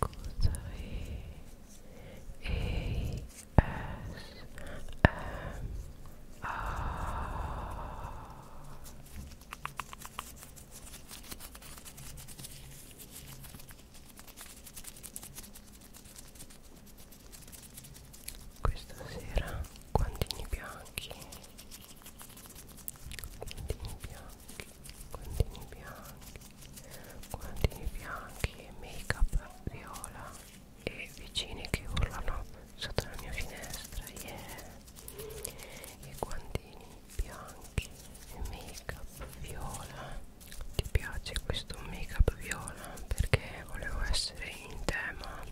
cosa è e s m a questa sera guantini bianchi guantini bianchi guantini bianchi guantini bianchi e make up viola e vicine che urlano sotto la mia finestra yeah. e guantini bianchi e make up viola ti piace questo make up viola perché volevo essere in tema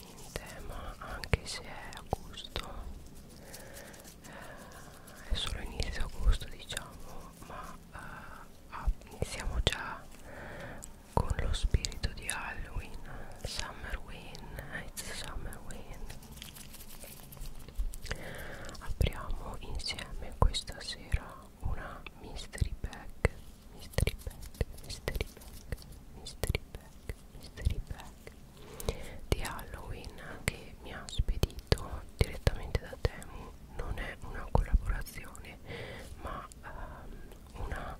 in tema anche se è agosto è solo inizio agosto diciamo ma eh, ah, iniziamo già con lo spirito di Halloween Summer Win It's Summer Win apriamo insieme questa sera una mystery bag mystery bag mystery bag mystery bag mystery bag di Halloween che mi ha spedito direttamente da Temu non è una collaborazione ma um, una,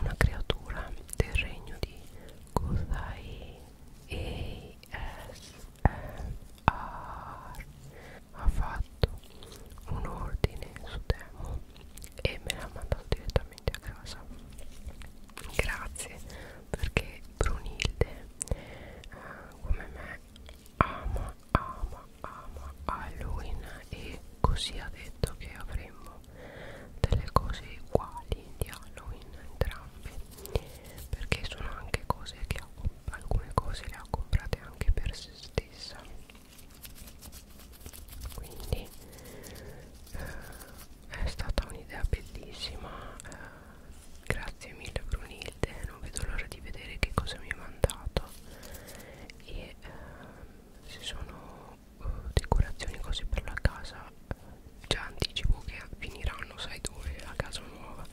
una creatura del regno di Gozai ASMR ha fatto un ordine su Temu e me l'ha mandato direttamente a casa grazie perché Brunilde eh, come me ama ama ama Halloween e così ha detto che avremmo delle cose uguali di Halloween entrambe perché sono anche cose che ha, alcune cose le ha comprate anche per se stessa quindi eh, è stata un'idea bellissima eh, Grazie mille Brunilde, non vedo l'ora di vedere che cosa mi hai mandato e eh, se sono eh, decorazioni cose per la casa eh, già anticipo che finiranno sai dove la casa nuova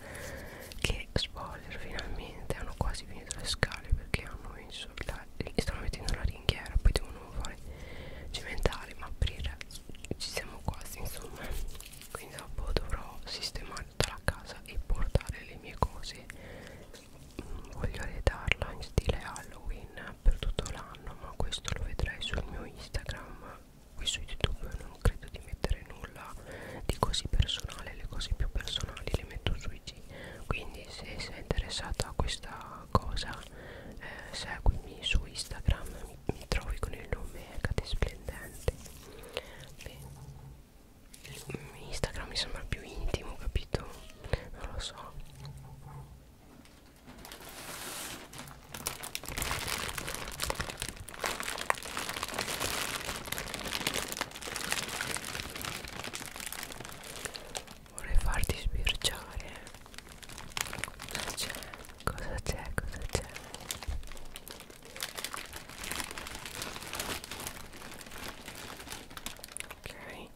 che spoiler finalmente hanno quasi finito le scale perché hanno messo la, stanno mettendo la ringhiera poi devono fare cementare ma aprire ci siamo quasi insomma quindi dopo dovrò sistemare tutta la casa e portare le mie cose mm, voglio redarla in stile Halloween per tutto l'anno ma questo lo vedrai sul mio Instagram qui su YouTube non credo di mettere nulla di così personale le cose più personali le metto su IG quindi se sei interessata a questa cosa eh, seguimi su Instagram mi, mi trovi con il nome Cate Splendente Beh, Instagram mi sembra più intimo, capito? Non lo so Vorrei farti sbirciare Cosa c'è? Cosa c'è? Cosa c'è? ok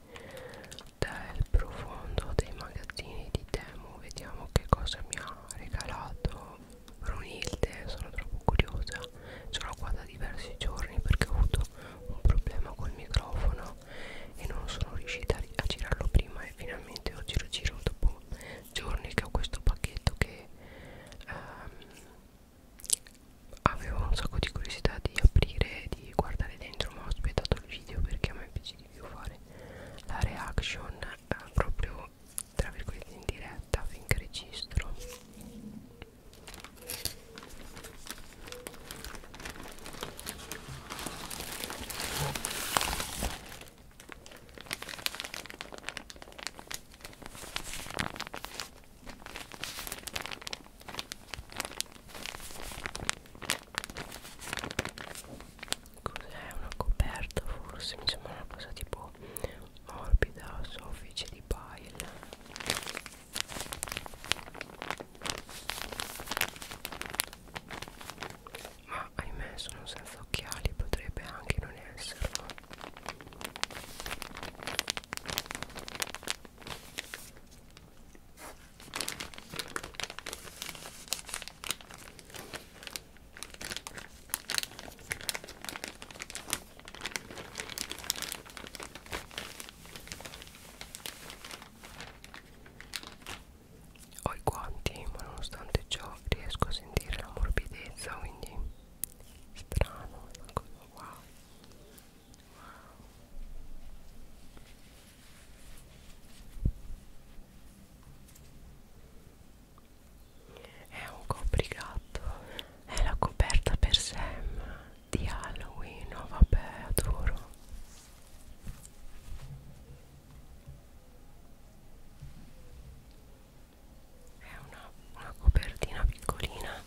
dal profondo dei magazzini di Temu vediamo che cosa mi ha regalato Brunilde sono troppo curiosa sono qua da diversi giorni perché ho avuto un problema col microfono e non sono riuscita a girarlo prima e finalmente oggi lo giro dopo giorni che ho questo pacchetto che ehm, avevo un sacco di curiosità di aprire e di guardare dentro ma ho aspettato il video perché a me piace di più fare la reaction eh, proprio tra virgolette in diretta finché registro Cos'è una coperta? Forse mi sembra una cosa tipo morbida, soffice di pile. Ma ahimè sono senza occhiali, potrebbe anche non esserlo. Ho i guanti, ma nonostante ciò riesco a sentire la morbidezza, quindi strano è una cosa wow wow è un coprigatto è la coperta per Sam di Halloween no oh, vabbè adoro è una, una copertina piccolina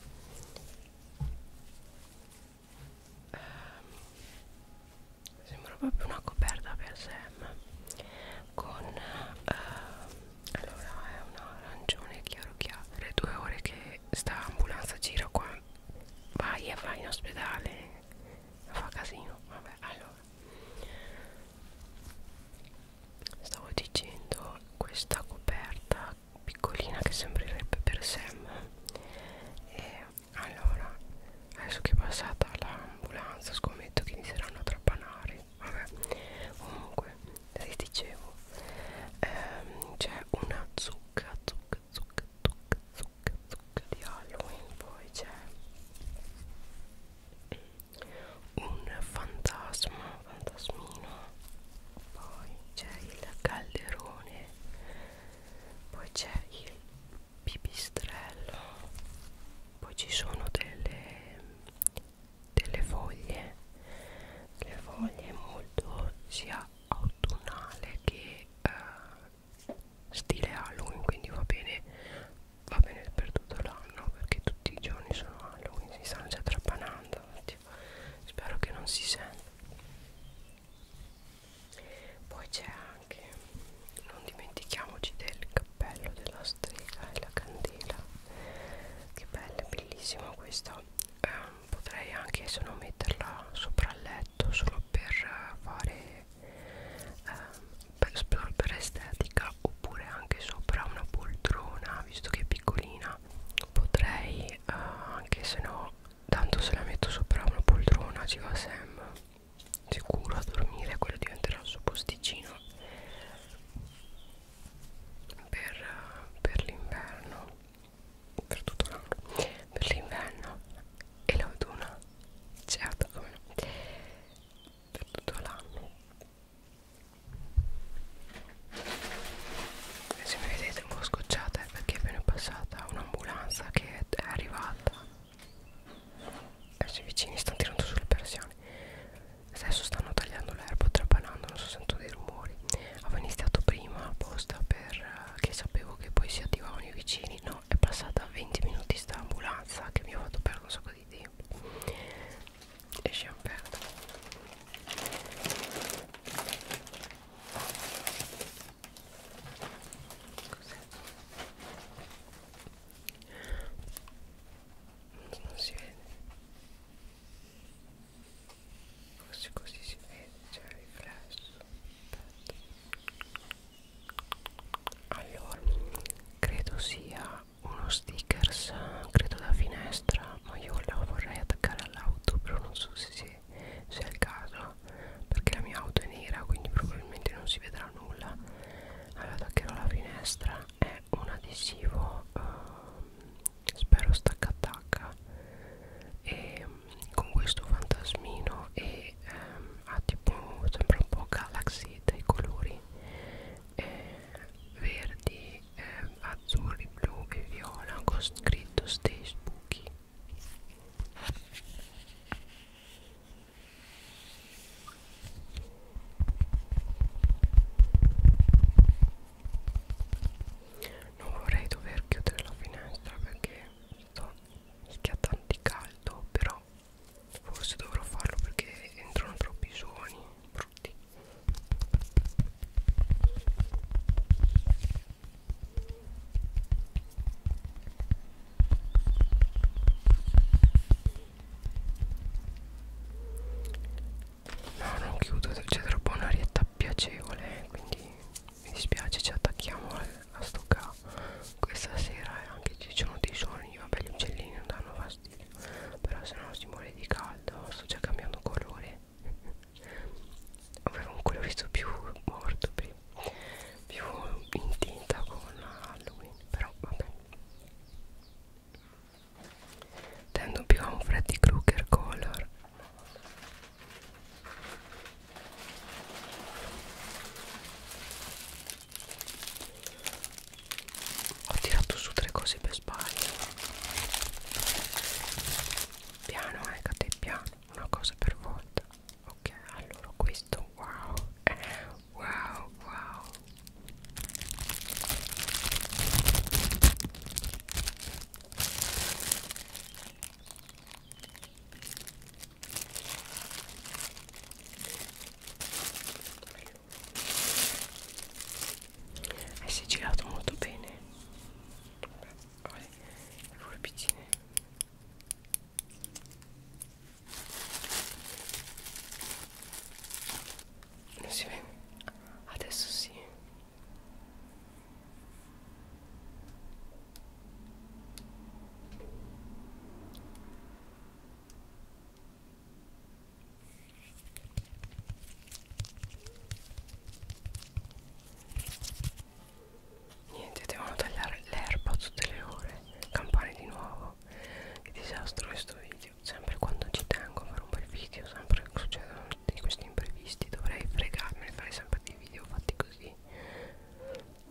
eh, sembra proprio una coperta per Sam con eh, allora è un arancione chiaro chiaro le due ore che sta ambulanza gira qua vai e vai in ospedale fa casino vabbè allora stavo dicendo questa coperta piccolina che sembrerebbe per Sam e allora adesso che è passata l'ambulanza scommetto che inizieranno a trapanare vabbè comunque vi dicevo ehm, c'è una zucca zucca zucca zucca zucca zucca di Halloween poi c'è un fantasma fantasmino poi c'è il calderone poi c'è il pipistrello poi ci sono delle, delle foglie le foglie molto sia autunnale che eh, stile Halloween quindi va bene va bene per tutto l'anno perché tutti i giorni sono Halloween si stanno già trapanando oddio. spero che non si senta poi c'è anche non dimentichiamoci del cappello della strega e la candela che bella bellissima questa eh, potrei anche se non metterla sopra il letto solo per fare eh, per, per estetica oppure anche sopra una poltrona visto che è piccolina potrei eh, anche se no tanto se la metto sopra una poltrona ci va Sam sicuro a dormire quello diventerà il suo posticino per, per l'inverno per tutto l'anno per l'inverno e l'autunno certo come no per tutto l'anno se mi vedete un po' scocciata è perché appena è passata un'ambulanza che è arrivata adesso i vicini stanno tirando sulle persiane adesso stanno tagliando l'erba trapalando non so sento dei rumori avevo iniziato prima apposta perché eh, sapevo che poi si attivavano i vicini no è passata 20 minuti sta ambulanza che mi ha fatto perdere un sacco di tempo e champagne Cos'è? Non si vede Forse così si vede, c'è il riflesso Aspetta. Allora, credo sia uno stickers credo da finestra ma io lo vorrei attaccare all'auto però non so se, si, se è il caso perché la mia auto è nera quindi probabilmente non si vedrà nulla allora attaccherò alla finestra è un adesivo eh, spero stacca attacca e ehm, con questo fantasmino e ehm, ha tipo sembra un po' galaxy dei colori eh, verdi, eh, azzurri, blu e viola con scritto Stay Spooky non vorrei dover chiudere la finestra perché sto schiattando di caldo però forse dovrò farlo perché entrano troppi suoni brutti No, non chiudo, c'è troppo un'arietta piacevole, eh, quindi mi dispiace, ci attacchiamo a, a sto qua. Questa sera è anche ci sono dei sogni, vabbè gli uccellini non danno plastiche però se no si muore di caldo sto già cambiando colore avevo un colore visto più morto prima più in tinta con Halloween però vabbè tendo più a un Freddy Krueger color ho tirato su tre cose per sbaglio piano eh cade piano una cosa per volta ok allora questo wow eh, wow wow e eh, si è girato molto bene Vabbè, le forbiccine non si vede adesso sì Niente, devono tagliare l'erba tutte le ore, campane di nuovo. Che disastro questo video. Sempre quando ci tengo a fare un bel video, sempre succedono tutti questi imprevisti. Dovrei fregarmene, fare sempre dei video fatti così.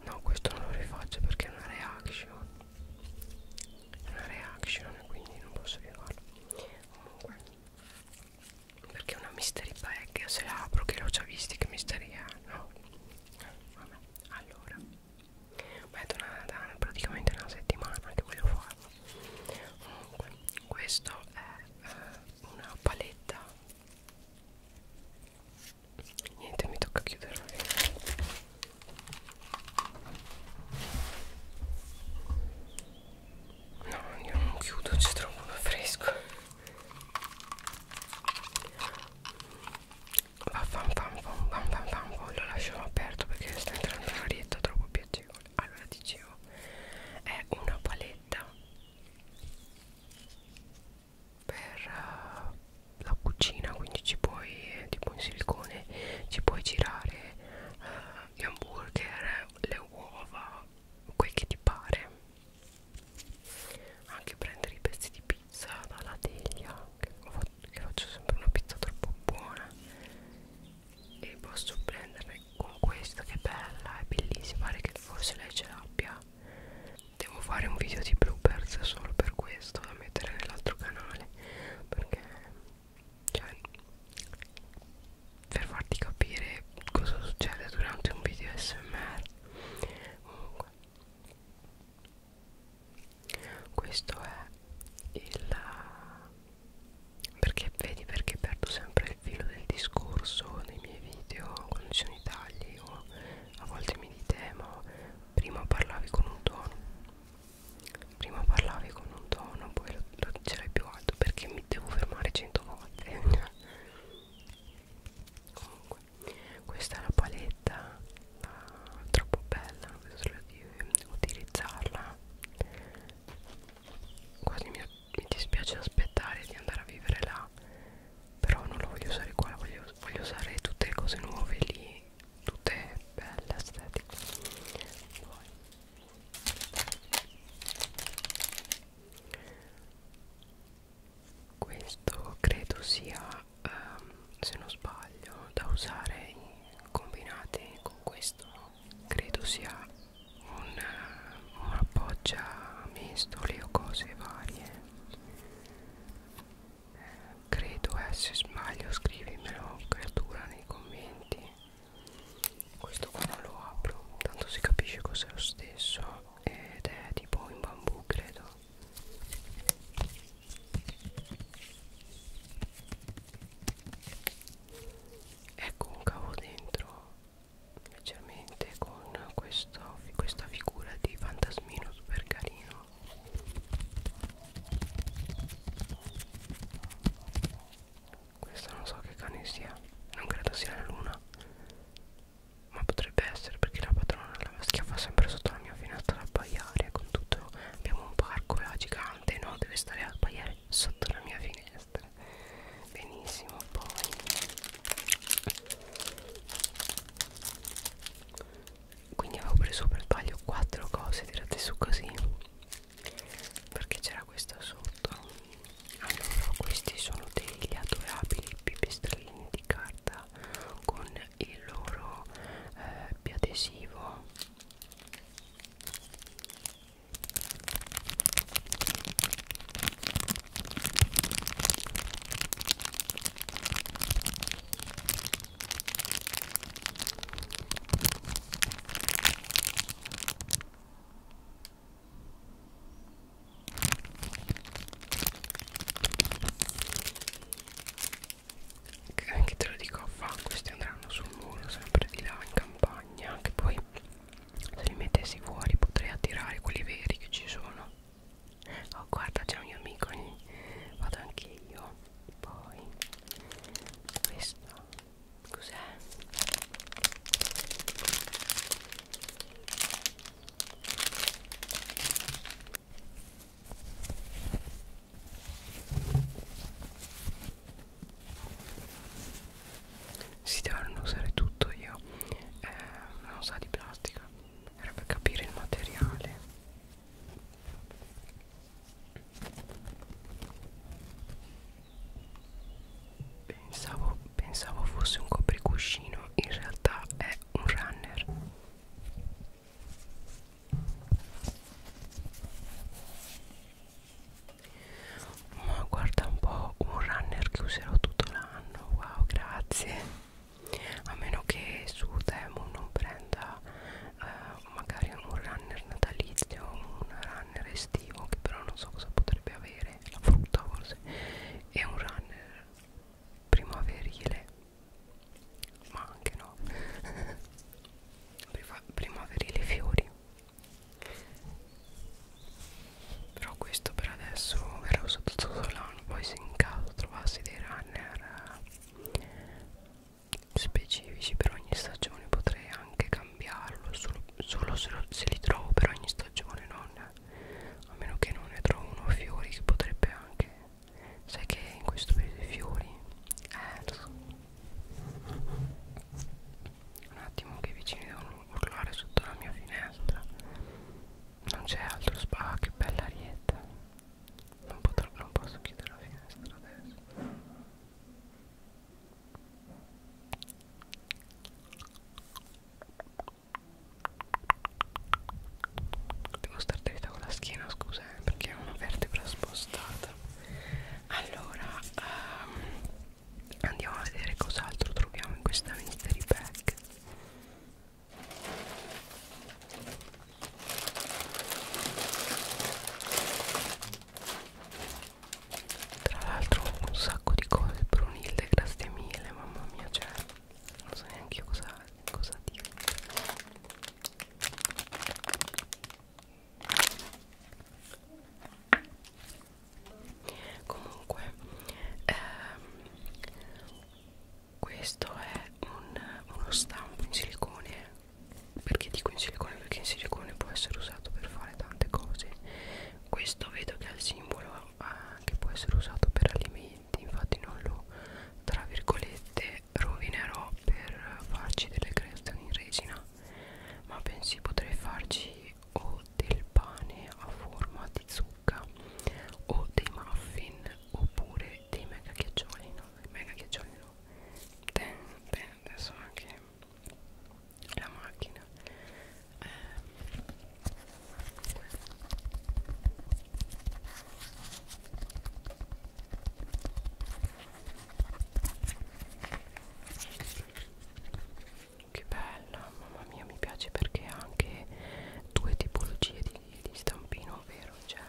No, questo non lo rifaccio perché è una reaction una reaction quindi non posso più farlo comunque perché una mystery bag se la apro che l'ho già visti che mystery è no vabbè allora ma è da, da praticamente una settimana che voglio farlo comunque questo è eh, una paletta niente mi tocca chiuderla No, io non chiudo, ci trovo uno fresco. Va pam pam pam pam pam pam, lo lasciamo aperto perché sta entrando un'arietta troppo piacevole. Allora dicevo, è una paletta per uh, la cucina, quindi ci puoi, tipo in silicone, ci puoi girare. Uh, gli hamburger, le uova, quel che ti pare anche prendere i pezzi di pizza dalla teglia che, fatto, che faccio sempre una pizza troppo buona e posso prenderne con questa che è bella, è bellissima, pare che forse lei ce l'abbia devo fare un video di bloopers solo per questo da mettere nell'altro canale perché cioè per farti capire cosa succede durante un video smr comunque questo è il perché vedi perché perdo sempre il filo del discorso nei miei video quando ci sono i tagli o a volte mi dite ma prima parlavi con un tono prima parlavi con un tono poi lo, lo dicerai più alto perché mi devo fermare cento volte comunque questa è la paletta la, troppo bella solo di utilizzarla quasi mi, mi dispiace aspettare di andare a vivere là però non la voglio usare qua la voglio, voglio usare tutte le cose nuove lì tutte belle estetiche poi questo credo sia um, se non sbaglio da usare combinate con questo no? credo sia un, un appoggia mestole o cose varie eh, credo eh se sbaglio scrivimelo creatura nei commenti questo qua non lo apro tanto si capisce cos'è lo stesso ed è tipo in bambù credo ecco un cavo dentro leggermente con questo, questa figura di fantasmino super carino questo non so che cane sia Non credo sia la luna Ma potrebbe essere perché la padrona la schiaffa sempre sotto la mia finestra ad abbaiare Con tutto abbiamo un parco là gigante No deve stare a abbaiare sotto la mia finestra Benissimo poi Quindi avevo preso per taglio 4 cose tirate su così perché c'era questa sotto allora questi sono degli adorabili pipistrellini di carta con il loro eh, biadesivo anche te lo dico a fa questi andranno sul muro sempre di là in campagna che poi se li mettessi fuori potrei attirare quelli veri che ci sono oh guarda c'è un mio amico lì vado anche io poi questa cos'è? si devono usare tutto io eh, non sa di plastica era per capire il materiale Pensavo, pensavo fosse un copricuscino, in realtà è un runner. Ma guarda un po', un runner che userò tutto l'anno. Wow, grazie. A meno che su Temu non prenda eh, magari un runner natalizio un runner estivo che però non so cosa potrebbe avere la frutta forse e un runner primaverile ma anche no primaverile fiori però questo per adesso verrà usato solo l'anno poi se in caso trovassi dei runner specifici per ogni stagione potrei anche cambiarlo solo, solo se, lo, se li trovo per ogni stagione non, a meno che non ne trovo uno fiori che potrebbe anche sai che in questo periodo i fiori eh lo so un attimo che i vicini devono urlare sotto la mia finestra non c'è altro spa ah, che bella arietta non, potrò, non posso chiudere la finestra adesso Devo star dritta con la schiena, scusa, eh, perché è una vertebra spostata. Allora, um, andiamo a vedere cos'altro troviamo in questa mystery bag tra l'altro un sacco di cose Brunilde grazie mille mamma mia cioè non so neanche io cosa, cosa dire comunque ehm, questo è un, uno stampo in silicone perché dico in silicone perché in silicone può essere usato per fare tante cose questo vedo che ha il simbolo eh, che può essere usato per alimenti infatti non lo tra virgolette rovinerò per farci delle creazioni in resina ma pensi potrei farci o del pane a forma di zucca o dei muffin oppure dei mega ghiaccioli no, mega ghiaccioli no Ten, ten, adesso anche la macchina eh, che bella mamma mia mi piace perché ha anche due tipologie di, di stampino ovvero cioè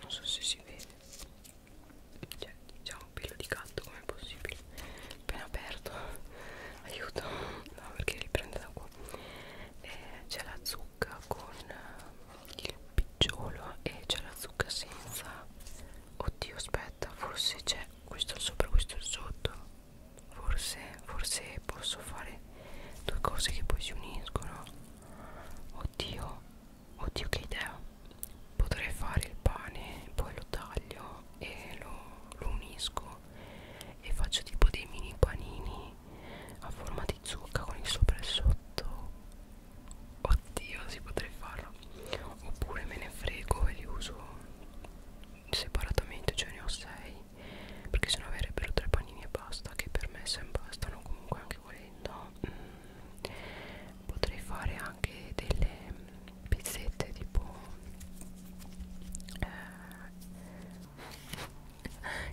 non so se si vede cioè diciamo pelo di gatto come possibile appena aperto aiuto no perché riprende da qua eh, c'è la zucca con eh, il picciolo e c'è la zucca senza oddio aspetta forse c'è questo sopra questo sotto forse forse posso fare due cose che poi si uniscono oddio Oddio che idea Potrei fare il pane Poi lo taglio E lo, lo unisco E faccio tipo dei mini panini A forma di zucca Con il sopra e il sotto Oddio si potrei farlo Oppure me ne frego E li uso separatamente Cioè ne ho 6 Perché sennò avrebbero tre panini e basta Che per me se bastano comunque anche volendo mm. Potrei fare anche delle pizzette tipo eh,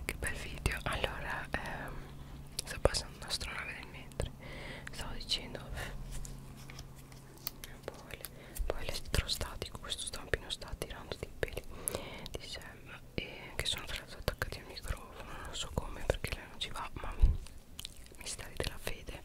che bel video allora ehm, sto passando una stronave nel mentre stavo dicendo eh, poi, poi l'estrostatico questo stampino sta tirando dei peli di Sam e eh, che sono tra l'altro attaccati al microfono non so come perché lei non ci va ma misteri della fede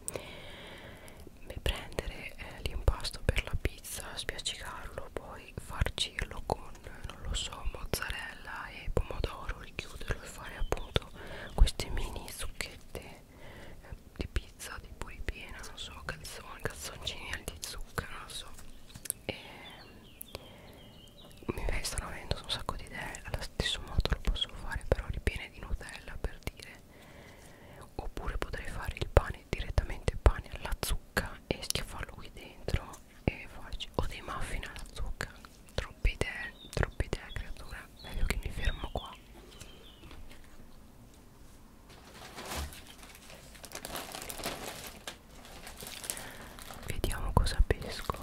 Beh, prendere eh, l'impasto per la pizza spiaccicarlo poi farcirlo con non lo so mozzarella e pomodoro richiuderlo e fare appunto queste mini zucchette eh, di pizza tipo ripiena non so calzone calzoncini al di zucchero non so e ehm, mi stanno avendo un sacco di idee allo stesso modo lo posso fare però ripiene di nutella per dire oppure potrei fare il pane direttamente pane alla zucca e schiaffarlo qui dentro e farci o dei muffin alla zucca troppe idee troppe idee creatura meglio che mi fermo qua Vediamo cosa pesco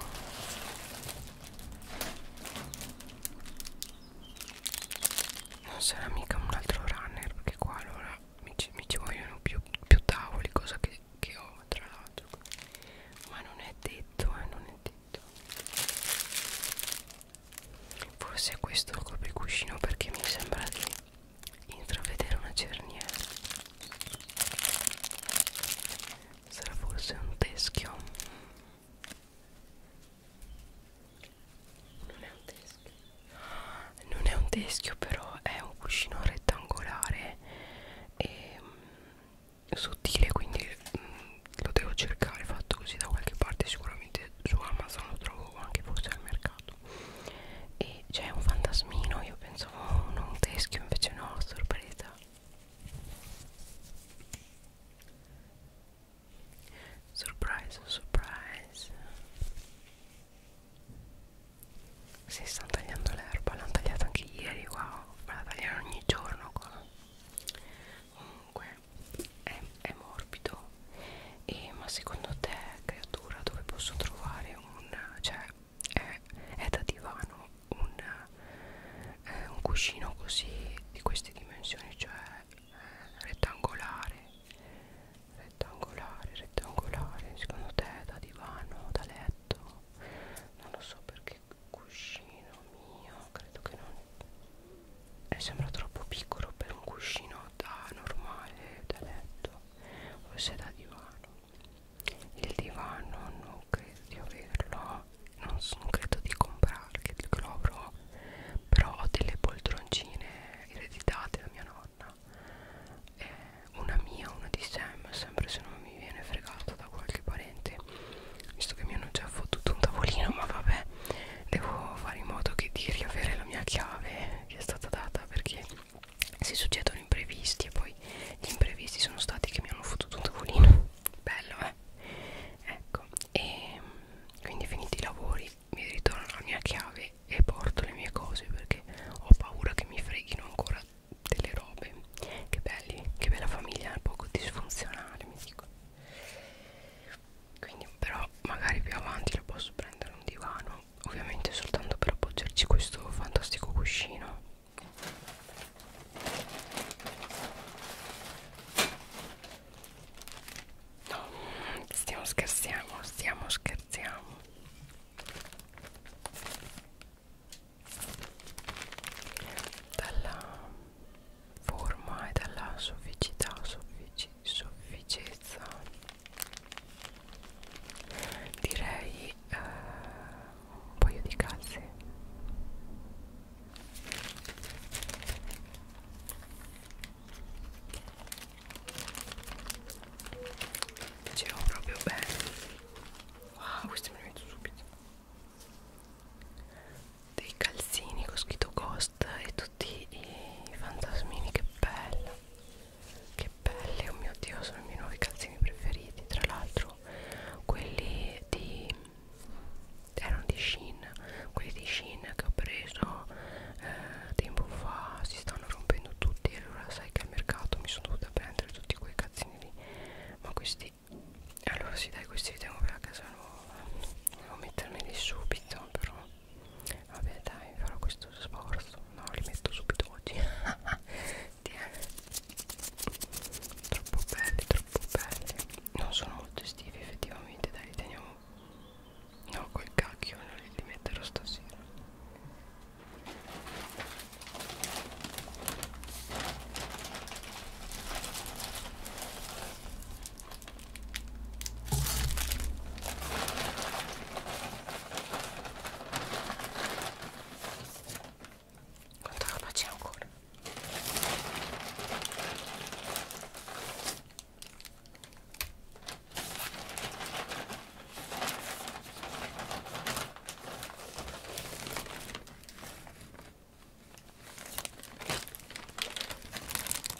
non sarà mica un altro runner perché qua allora mi ci, mi ci vogliono più, più tavoli cosa che, che ho tra l'altro ma non è detto eh non è detto forse è questo il copricuscino perché mi sembra di intravedere una cerniera sarà forse un teschio non è un teschio. Non è un teschio, però è un cuscino rettangolare e mh, mm, sottile, quindi mh, mm, lo devo cercare fatto così da qualche parte. Sicuramente su Amazon lo trovo anche forse al mercato. E c'è un fantasmino, io pensavo oh, non un teschio, invece no, sorpresa Surprise, surprise. Si stanno tagliando l'erba, l'hanno tagliata anche ieri, wow, me la tagliano ogni giorno qua. Comunque è, è morbido. E, ma secondo te, creatura, dove posso trovare un... cioè è, è da divano un, eh, un cuscino così di queste dimensioni, cioè rettangolare rettangolare rettangolare secondo te da divano da letto non lo so perché cuscino mio credo che non eh, sembra troppo piccolo per un cuscino da normale da letto o se da divano il divano non credo di averlo non, so, non credo di comprarle che lo avrò però ho delle poltroncine ereditate da mia nonna eh, una mia, una di Sam sempre se non mi viene fregata da qualche parente visto che mi hanno già fottuto un tavolino ma vabbè devo fare in modo che di riavere la mia chiave che è stata data perché si succedono imprevisti e poi gli imprevisti sono stati che mi hanno fottuto un tavolino bello eh? eh, ecco e mm, quindi finiti i lavori mi ritorno alla mia chiave e porto le mie cose perché ho paura che mi freghino ancora delle robe che belli che bella famiglia un poco disfunzionale mi dico quindi però magari più avanti lo posso prendere un divano ovviamente soltanto per appoggiarci questo fantastico cuscino No, stiamo scherzando, stiamo scherzando. Dalla forma e dalla sofficità, soffici, sofficezza. Direi eh, un paio di calze Girò proprio bene. Wow, ah, questi me li metto subito. Dei calzini con scritto Ghost e tutti i fantasmini, che bello. Che belli, oh mio dio, sono i miei nuovi calzini preferiti. Tra l'altro, quelli di erano di Shein quelli di Shein che ho preso eh, tempo fa si stanno rompendo tutti allora sai che al mercato mi sono dovuta prendere tutti quei cazzini lì ma questi allora sì dai questi li tengo per la casa nuova devo mettermeli subito però vabbè dai farò questo sforzo no li metto subito oggi troppo belli troppo belli non sono molto estivi effettivamente veramente dai teniamo no quel cacchio non li metterò stasera quanta roba c'è ancora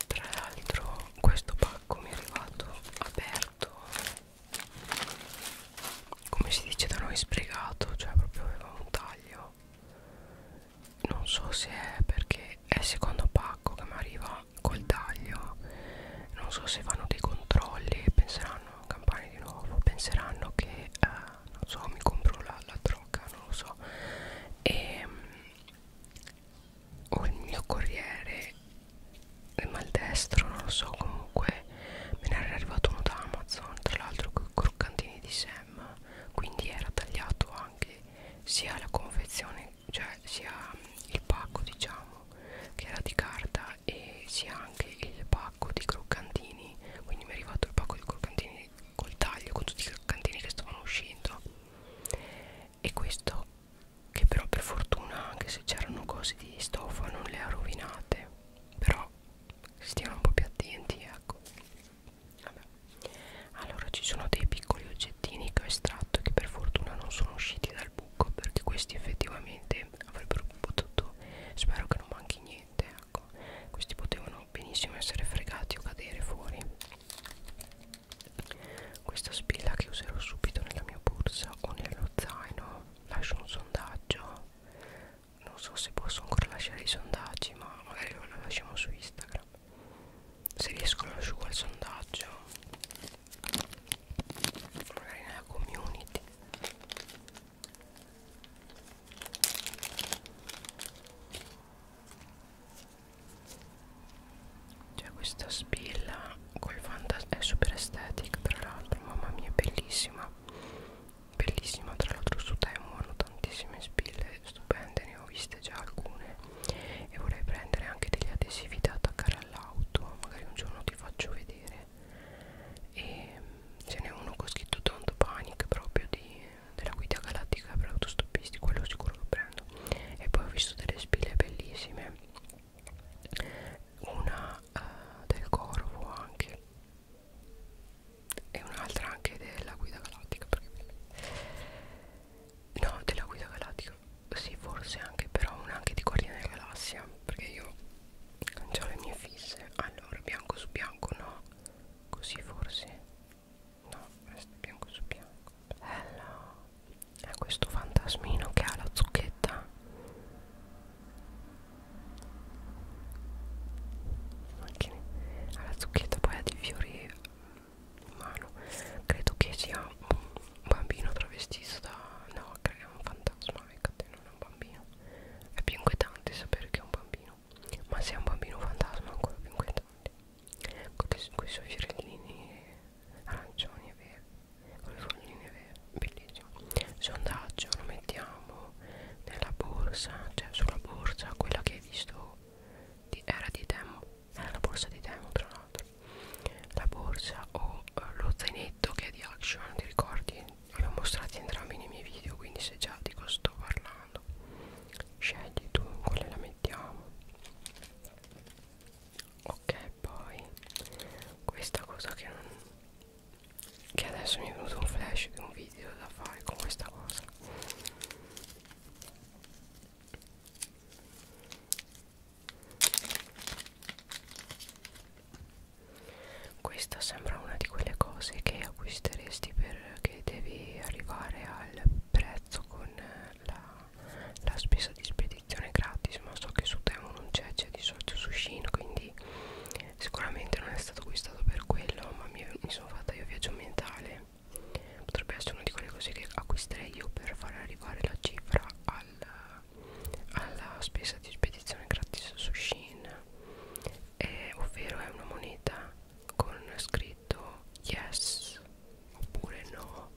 tra l'altro questo pacco mi è arrivato aperto come si dice da noi spregato, cioè proprio aveva un taglio qua non so se è perché è il secondo pacco che mi arriva col taglio non so se fanno dei controlli penseranno campani di nuovo penseranno che eh, non so mi compro la, la droga non lo so e ehm, o il mio corriere il maldestro non lo so comunque me ne era arrivato uno da Amazon tra l'altro con i croccantini di Sam quindi era tagliato anche sia la confezione cioè sia il pacco diciamo che era di carta e sia anche il pacco di croccantini quindi mi è arrivato il pacco di croccantini col taglio con tutti i croccantini che stavano uscendo e questo che però per fortuna anche se c'erano cose di stoffa non le ha rovinate però stiamo un po' più attenti ecco Vabbè. allora ci sono dei piccoli oggettini che ho estratto che per fortuna non sono usciti dal buco perché questi effettivamente avrebbero potuto spero che non manchi niente ecco questi potevano benissimo essere fregati o cadere fuori questa spilla che userò subito nella mia borsa o nello zaino lascio un sondaggio non so se posso ancora lasciare i sondaggi ma magari lo lasciamo su Instagram se riescono ad asciugare il sondaggio magari nella community c'è cioè, questa spilla col fantasma è super estetica tra l'altro mamma mia è bellissima bellissima tra l'altro su Temu hanno tantissime spille stupende ne ho viste già alcune e vorrei prendere anche degli adesivi da attaccare all'auto magari un giorno ti faccio vedere e mm, ce n'è uno con scritto Don't Panic proprio di, della guida galattica per autostoppisti quello sicuro lo prendo e poi ho visto delle spille bellissime una uh, del corvo anche e un'altra anche della guida galattica perché no della guida galattica sì forse anche però una anche di guardiana della galassia perché io ho le mie fisse allora bianco su bianco no così forse no questo è bianco su bianco bello è questo fantasmino che ha la zucchetta anche ha la zucchetta poi ha dei fiori umano credo che sia un bambino travestito da no credo che è un fantasma ecco te non è un bambino è più inquietante sapere che è un bambino ma se è un bambino fantasma è ancora più inquietante con quei suoi fiorellini arancioni e veri con le folline vere bellissimo sondaggio lo mettiamo nella borsa cioè sulla borsa quella che hai visto di, era di Temu era la borsa di Temu tra l'altro la borsa o eh, lo zainetto che è di Action ti ricordi? li ho mostrati entrambi nei miei video quindi se già di cosa sto parlando scegli tu quale la mettiamo ok poi questa cosa che non che adesso mi è venuto un flash di un video da fare con questa cosa questa sembra una di quelle cose che acquisteresti perché devi arrivare al prezzo con la, la spesa di spedizione gratis, ma so che su Temo non c'è, c'è di solito su Shin, quindi sicuramente non è stato acquistato per quello, ma mi, mi sono fatta io viaggio mentale potrebbe essere una di quelle cose che acquisterei io per far arrivare la cifra al, alla spesa di spedizione gratis su Shein eh, ovvero è una moneta con scritto yes oppure no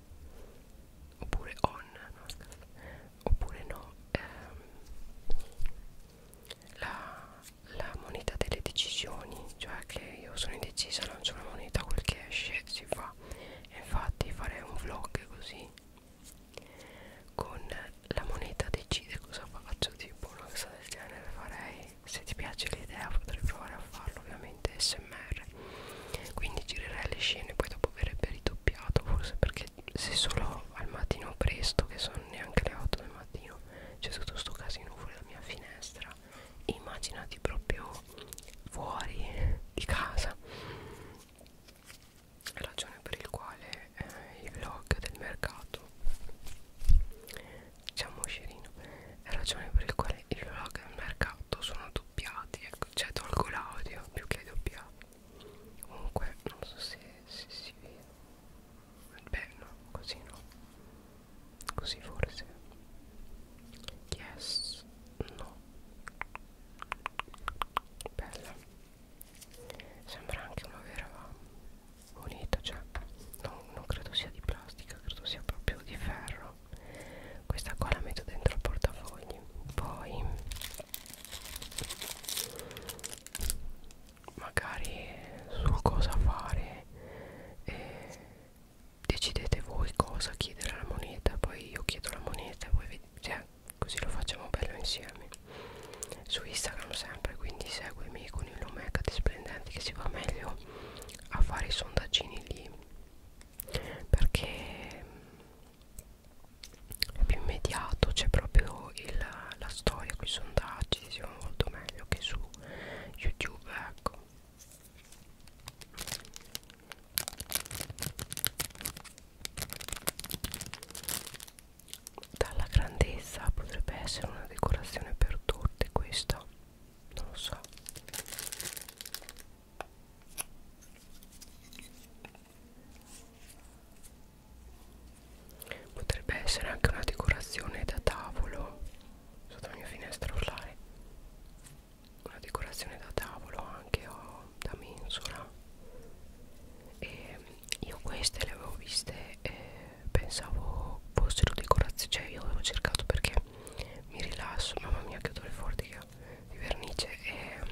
oppure on no, oppure no ehm, la, la moneta delle decisioni cioè che io sono indecisa lancio una moneta quel che esce si fa infatti farei un vlog così con la moneta decide cosa faccio tipo una cosa del genere farei se ti piace l'idea potrei provare a farlo ovviamente smr quindi girerei le scene poi dopo verrebbe ridoppiato forse perché se solo al mattino presto che sono neanche le 8 del mattino c'è tutto sto casino fuori dalla mia finestra eccetera cioè, immaginati proprio fuori di casa ragione per il quale eh, i vlog del mercato diciamo scerino ragione per il quale i vlog del mercato sono doppiati ecco cioè tolgo l'audio più che doppiato comunque non so se, se si vede beh no così no Così forse Yes No Bella Sembra anche una vera moneta Cioè non, non credo sia di plastica Credo sia proprio di ferro Questa qua la metto dentro il portafogli Poi Magari Su cosa fare e decidete voi cosa chiedere alla moneta poi io chiedo la moneta e voi vedete cioè, così lo facciamo bello insieme su Instagram sempre quindi seguimi con il nome Hecate Splendenti che si va meglio a fare i sondaggini lì perché è più immediato c'è proprio il, la storia con i sondaggi si va molto meglio che su YouTube ecco dalla grandezza potrebbe essere una decorazione per torte questa non lo so potrebbe essere anche una decorazione da tavolo sotto la mia finestra urlare una decorazione da tavolo anche ho oh, da mensola e mm, io queste le avevo viste e pensavo fossero decorazioni cioè io avevo cercato perché mi rilasso mamma mia che odore fortica di vernice e mm,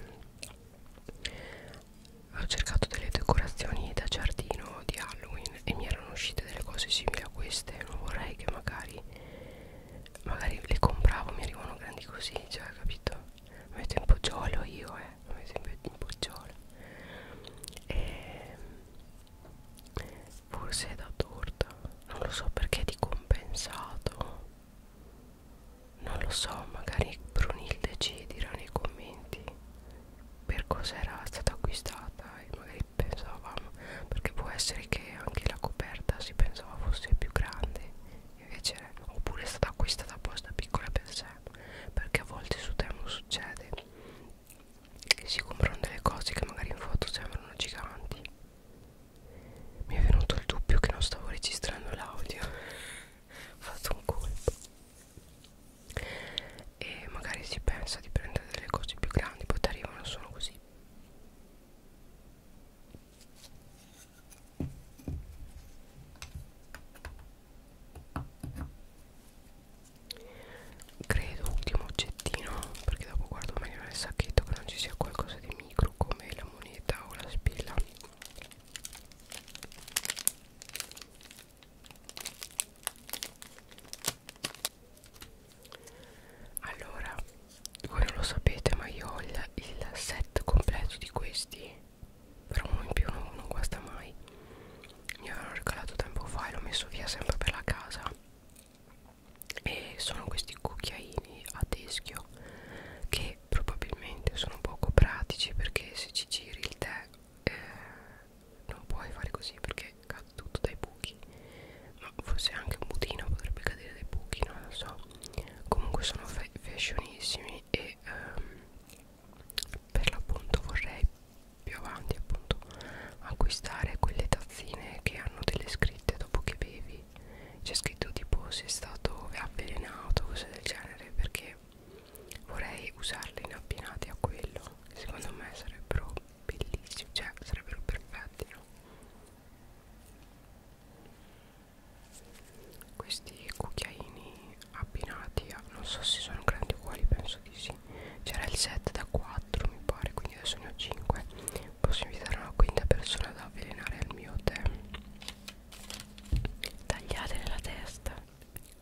ho cercato delle decorazioni da giardino di Halloween e mi erano uscite delle cose simili a queste non vorrei che magari magari le compravo mi arrivano grandi così cioè capito mi metto in poggiolo io eh mi metto in poggiolo e ehm, forse è da torta non lo so perché di compensato non lo so magari Brunilde ci dirà nei commenti per cosa era stata acquistata e magari pensavamo perché può essere che anche la coperta si pensava fosse più grande invece oppure è stata acquistata apposta piccola per sé perché a volte su Temu succede che si comprano delle cose che magari in foto sembrano giganti mi è venuto il dubbio che non stavo registrando l'audio ho fatto un colpo e magari si pensa di prendere delle cose più grandi poi ti arrivano solo così credo ultimo oggettino perché dopo guardo meglio nel sacchetto che non ci sia qualcosa di micro come la moneta o la spilla allora voi non lo sapete ma io ho il, il set completo di questi però uno in più non, non guasta mai mi avevano regalato tempo fa e l'ho messo via sempre per la casa e sono questi cucchiaini a teschio che probabilmente sono poco pratici perché se ci giri il tè eh, non puoi fare così perché caduto dai buchi ma forse anche un budino potrebbe cadere dai buchi non lo so comunque sono fashionissimi e ehm, per l'appunto vorrei più avanti appunto acquistare quelle tazzine che hanno delle scritte dopo che bevi c'è scritto tipo se è stato avvelenato cose del genere perché vorrei usarle in abbinati a quello che secondo me sarebbero bellissimi cioè sarebbero perfetti no questi cucchiaini abbinati a, non so se sono grandi uguali penso di sì c'era il set da 4 mi pare quindi adesso ne ho 5 posso invitare una quinta persona ad avvelenare il mio tè tagliate nella testa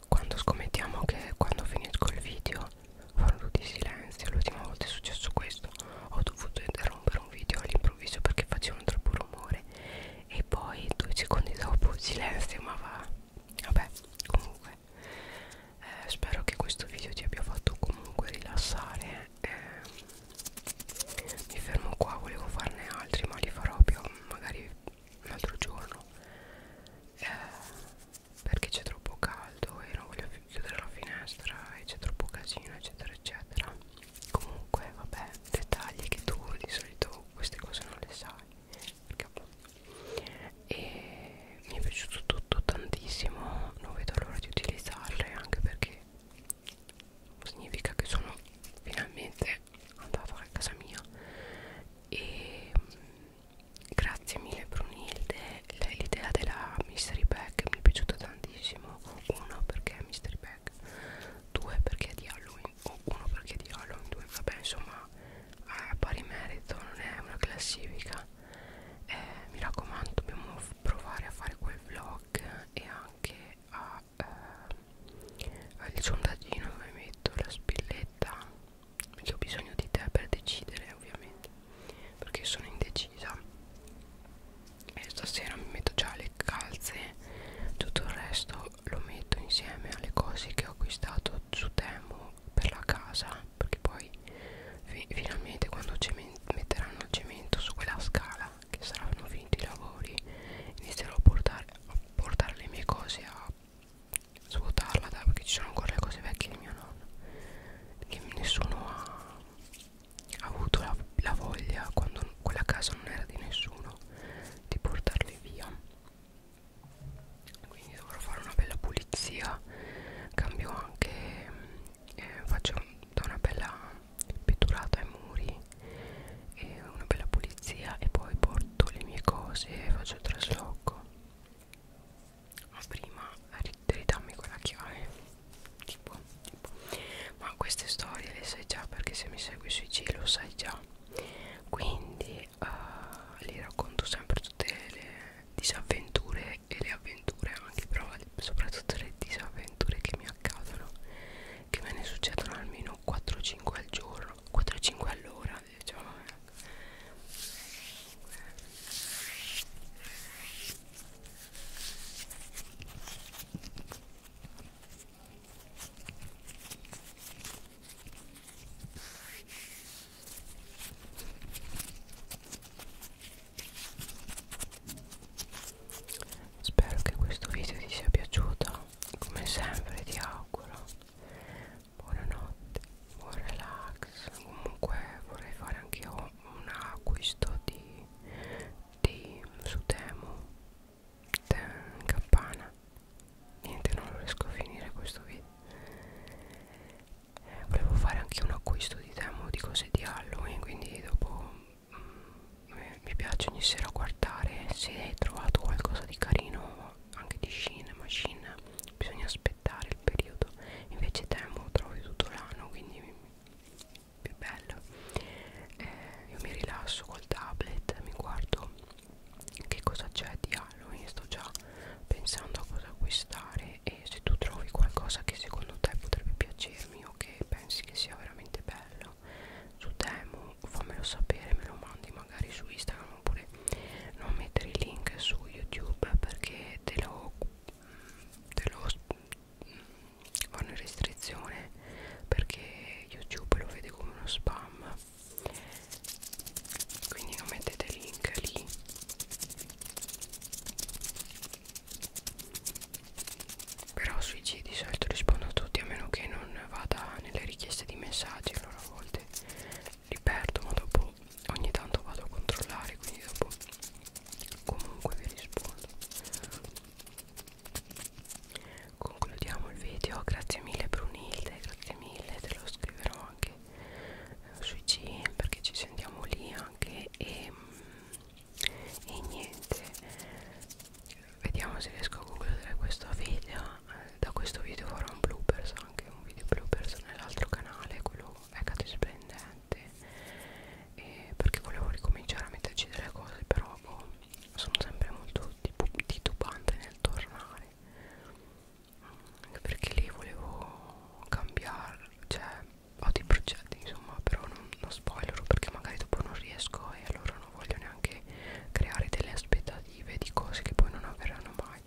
quando scommettiamo che quando finisco il video Fanno tutti silenzio, l'ultima volta è successo questo Ho dovuto interrompere un video all'improvviso perché facevano troppo rumore E poi due secondi dopo silenzio ma va Vabbè, comunque eh, Spero che questo video ti abbia fatto comunque rilassare eh, Mi fermo qua, volevo farne altri ma li farò più magari un altro giorno eh, perché c'è troppo caldo caldo e non voglio chiudere la finestra e c'è troppo casino eccetera eccetera comunque vabbè dettagli che tu di solito queste cose non le sai perché e mi è piaciuto tutto tantissimo non vedo l'ora di utilizzarle anche perché significa che sono finalmente andata a casa mia e mm, grazie mille Brunilde l'idea della mystery bag mi è piaciuta tantissimo uno perché è mystery bag due perché è di Halloween o uno perché è di Halloween due vabbè insomma a pari merito non è una classifica eh, mi raccomando dobbiamo provare a fare quel vlog e anche a eh, il sondaggino dove metto la spilletta perché ho bisogno di te per decidere ovviamente perché sono indecisa e stasera mi metto già le calze tutto il resto lo metto insieme alle cose che ho acquistato su Temu per la casa perché poi fi finalmente quando metteranno il cemento su quella scala che saranno finiti i lavori inizierò a portare, a portare le mie cose a svuotarla da, perché ci sono ancora le cose vecchie di mio nonno che nessuno ha ha avuto la, la voglia quando quella casa non era di nessuno di portarli via quindi dovrò fare una bella pulizia cambio anche eh, faccio da una bella pitturata ai muri e una bella pulizia e poi porto le mie cose e faccio il trasloco ma prima ridammi quella chiave tipo, tipo ma queste storie le sai già perché se mi segui sui G lo sai già quindi uh, eh, li racconto sempre tutte le disavventure e le avventure anche però soprattutto le disavventure che mi accadono che me ne succedono almeno 4-5 al giorno 4-5 all'ora diciamo Spero che questo video ti sia piaciuto, come sempre ti auguro buonanotte, buon relax, comunque vorrei fare anche io un acquisto di, di su Temu Campana niente non riesco a finire questo video eh, volevo fare anche un acquisto di Temu di cose di Halloween quindi dopo mm, mi piace ogni sera guardare se hai trovato qualcosa di carino anche di Shin Machine bisogna aspettare il periodo invece Temu trovi tutto l'anno quindi mi, più bello eh, io mi rilasso col tablet mi guardo che cosa c'è di Halloween sto già pensando a cosa acquistare e se tu trovi qualcosa che secondo te potrebbe piacermi o che pensi che sia veramente bello su Temu fammelo sapere me lo mandi magari su Instagram oppure non mettere il link su YouTube perché te lo mm, te lo mm, vanno in restrizione perché youtube lo vede come uno spam quindi non mettete link lì però sui G di solito rispondo a tutti a meno che non vada nelle richieste di messaggi allora a volte li perdo ma dopo ogni tanto vado a controllare quindi dopo comunque vi rispondo concludiamo il video grazie mille Brunilde grazie mille te lo scriverò anche eh, sui CM perché ci sentiamo lì anche e, ehm, e niente vediamo se riesco a concludere questo video eh, da questo video farò un bloopers anche un video bloopers nell'altro canale quello Vegate splendente e perché volevo ricominciare a metterci delle cose però boh, sono sempre molto titubante nel tornare perché lì volevo cambiare cioè ho dei progetti insomma però non, non spoilero perché magari dopo non riesco e allora non voglio neanche creare delle aspettative di cose che poi non avverranno mai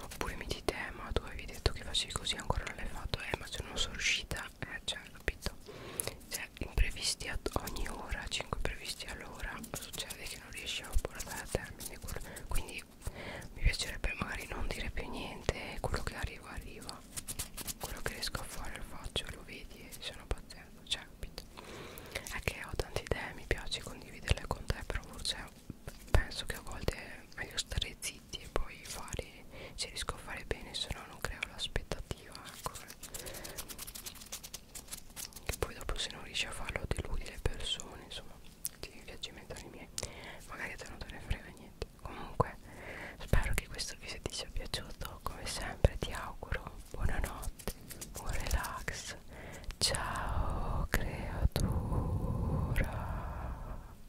oppure mi di te ma tu avevi detto che facevi così ancora non l'hai fatto eh ma se non sono riuscita eh cioè capito cioè imprevisti ad ogni ora 5 imprevisti all'ora succede che non riesci a portare a termine quindi mi piacerebbe magari non dire più niente quello che arriva arriva quello che riesco a fare lo faccio lo vedi e sono pazienza cioè capito è che ho tante idee mi piace condividerle con te però forse penso che a volte è meglio stare zitti siti e poi fare se riesco a fare bene se no non creo l'aspettativa ecco che poi dopo se non riesci a farlo deludi le persone insomma ti viaggi mentali miei magari a te non te ne frega niente comunque spero che questo video ti sia piaciuto come sempre ti auguro buonanotte buon relax ciao creatura